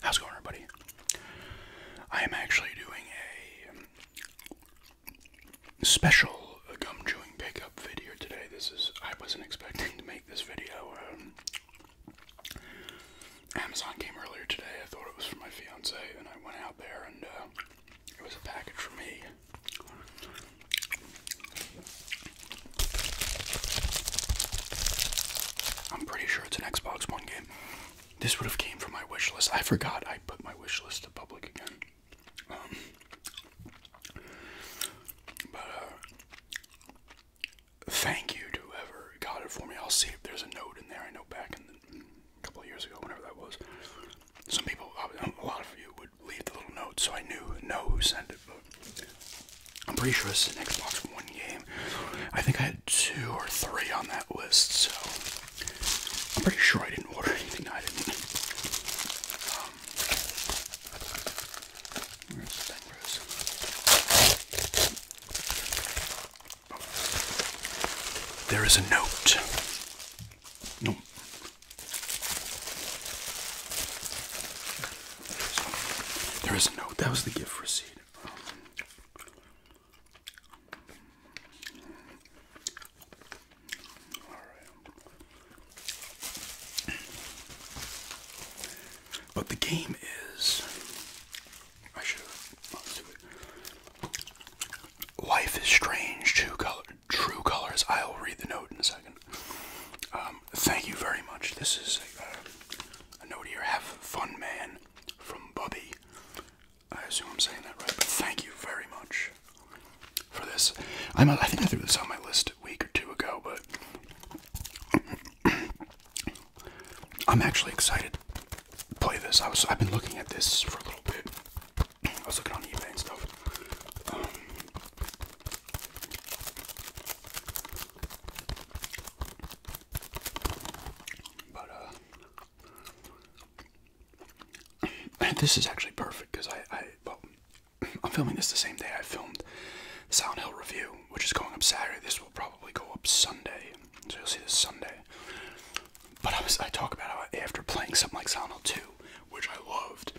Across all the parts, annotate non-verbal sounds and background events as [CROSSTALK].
How's it going, everybody? I am actually doing a special gum chewing pickup video today. This is, I wasn't expecting to make this video. Um, Amazon came earlier today. I thought it was for my fiance, and I went out there and uh, it was a package for me. I'm pretty sure it's an Xbox One. This would have came from my wish list. I forgot I put my wish list to public again. Um, but uh, thank you to whoever got it for me. I'll see if there's a note in there. I know back a couple years ago, whenever that was, some people, a lot of you, would leave the little note, so I knew know who sent it. I'm pretty sure this is an Xbox One game. I think I had two or three on that list, so I'm pretty sure I didn't order anything I didn't. Um, oh. There is a note. Nope. There is a note. That was the gift receipt. But the game is. Life is strange. True colors. I'll read the note in a second. Um, thank you very much. This is a, uh, a note here. Have fun, man, from Bobby. I assume I'm saying that right, but thank you very much for this. I'm, I think I threw this on my list a week or two ago, but [CLEARS THROAT] I'm actually excited to play this. I was, I've been looking at this for a little bit. I was looking on eBay and stuff. Um, uh, [CLEARS THROAT] this is actually perfect because I, I well, [CLEARS THROAT] I'm filming this the same day I filmed Sound Hill review, which is going up Saturday. This will probably go up Sunday, so you'll see this Sunday. But I was I talk about how after playing something like Sound Hill 2, which I loved,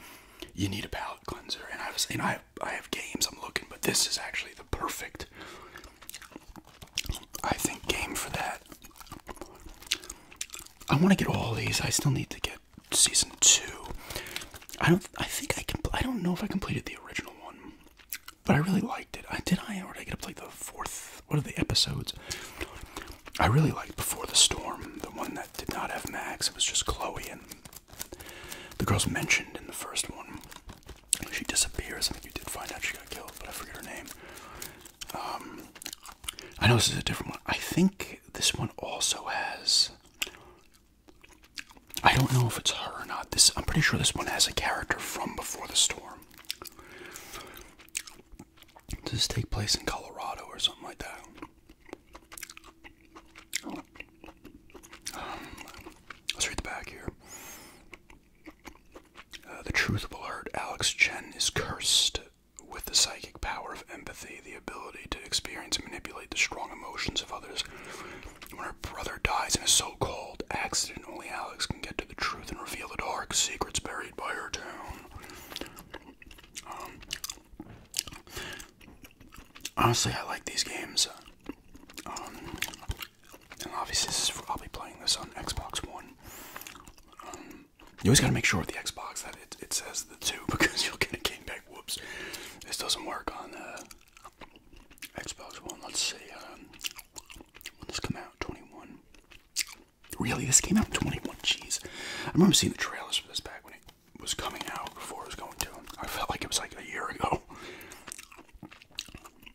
you need a palate cleanser, and I was and I I have games I'm looking, but this is actually the perfect I think game for that. I want to get all these. I still need to get season two. I don't. I think I can. I don't know if I completed the original one, but I really liked it. I did. I or did I get up to like the fourth. What are the episodes? I really liked Before the Storm, the one that did not have Max. It was just Chloe and the girl's mentioned in the first one. She disappears. I think you did find out she got killed, but I forget her name. Um, I know this is a different one. I think this one also has. I don't know if it's her or not. This I'm pretty sure this one has a character from Before the Storm. Does this take place in Colorado or something like that? Um, let's read the back here. Uh, the truth will hurt. Alex Chen is cursed with the psychic power of empathy, the ability to experience and manipulate the strong emotions of others. When her brother dies in a so called accident, only Alex can get to the truth and reveal the dark secrets buried by her town. Honestly, I like these games. Um, and obviously, I'll be playing this on Xbox One. Um, you always gotta make sure with the Xbox that it, says the two [LAUGHS] because you'll get a game pack. Whoops. This doesn't work on uh, Xbox One. Let's see. Um, when this come out? 21. Really? This came out 21. Jeez. I remember seeing the trailers for this back when it was coming out before it was going to. I felt like it was like a year ago. [LAUGHS]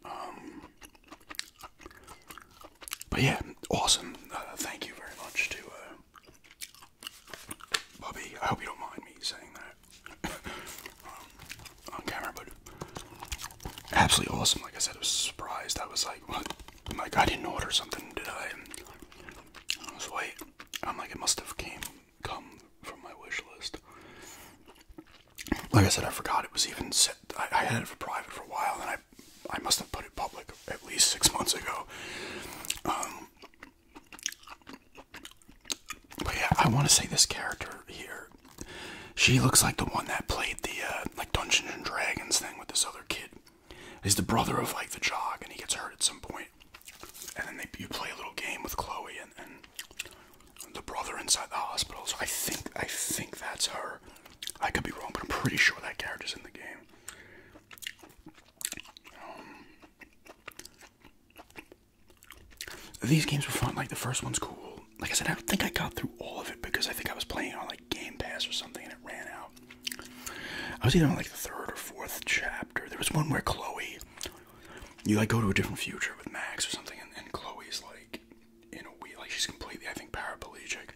Um, but yeah, awesome. Uh, thank you very much to uh, Bobby. I hope you don't mind me saying that [LAUGHS] um, on camera, but absolutely awesome. Like I said, I was surprised. I was like, Like I didn't order something, did I? It's white. I'm like, it must have came come from my wish list. Like I said, I forgot it was even set. I, had it for private for a while, and I I must have put it public at least six months ago. Um, but yeah, I want to say this character here. She looks like the one that played the uh, like Dungeons and Dragons thing with this other kid. He's the brother of like the jog, and he gets hurt at some And then they, you play a little game with Chloe and, the brother inside the hospital. So I think I think that's her. I could be wrong, but I'm pretty sure that character's in the game. Um, these games were fun. Like the first one's cool. Like I said, I don't think I got through all of it because I think I was playing on like. Game Pass or something, and it ran out. I was either on like the third or fourth chapter. There was one where Chloe, you like go to a different future with Max or something, and, and Chloe's like in a wheel, like she's completely, I think, paraplegic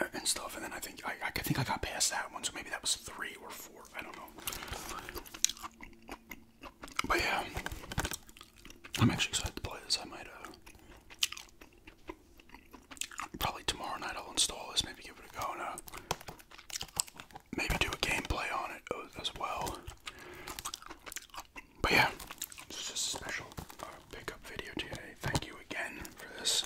uh, and stuff. And then I think I, I think I got past that one, so maybe that was three or four. I don't know. But yeah, I'm actually excited to play this. I might uh, Probably tomorrow night I'll install this, maybe give it a go and uh, maybe do a gameplay on it as well. But yeah, this just a special uh, pickup video today. Thank you again for this.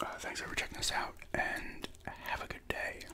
Uh, thanks for checking this out and have a good day.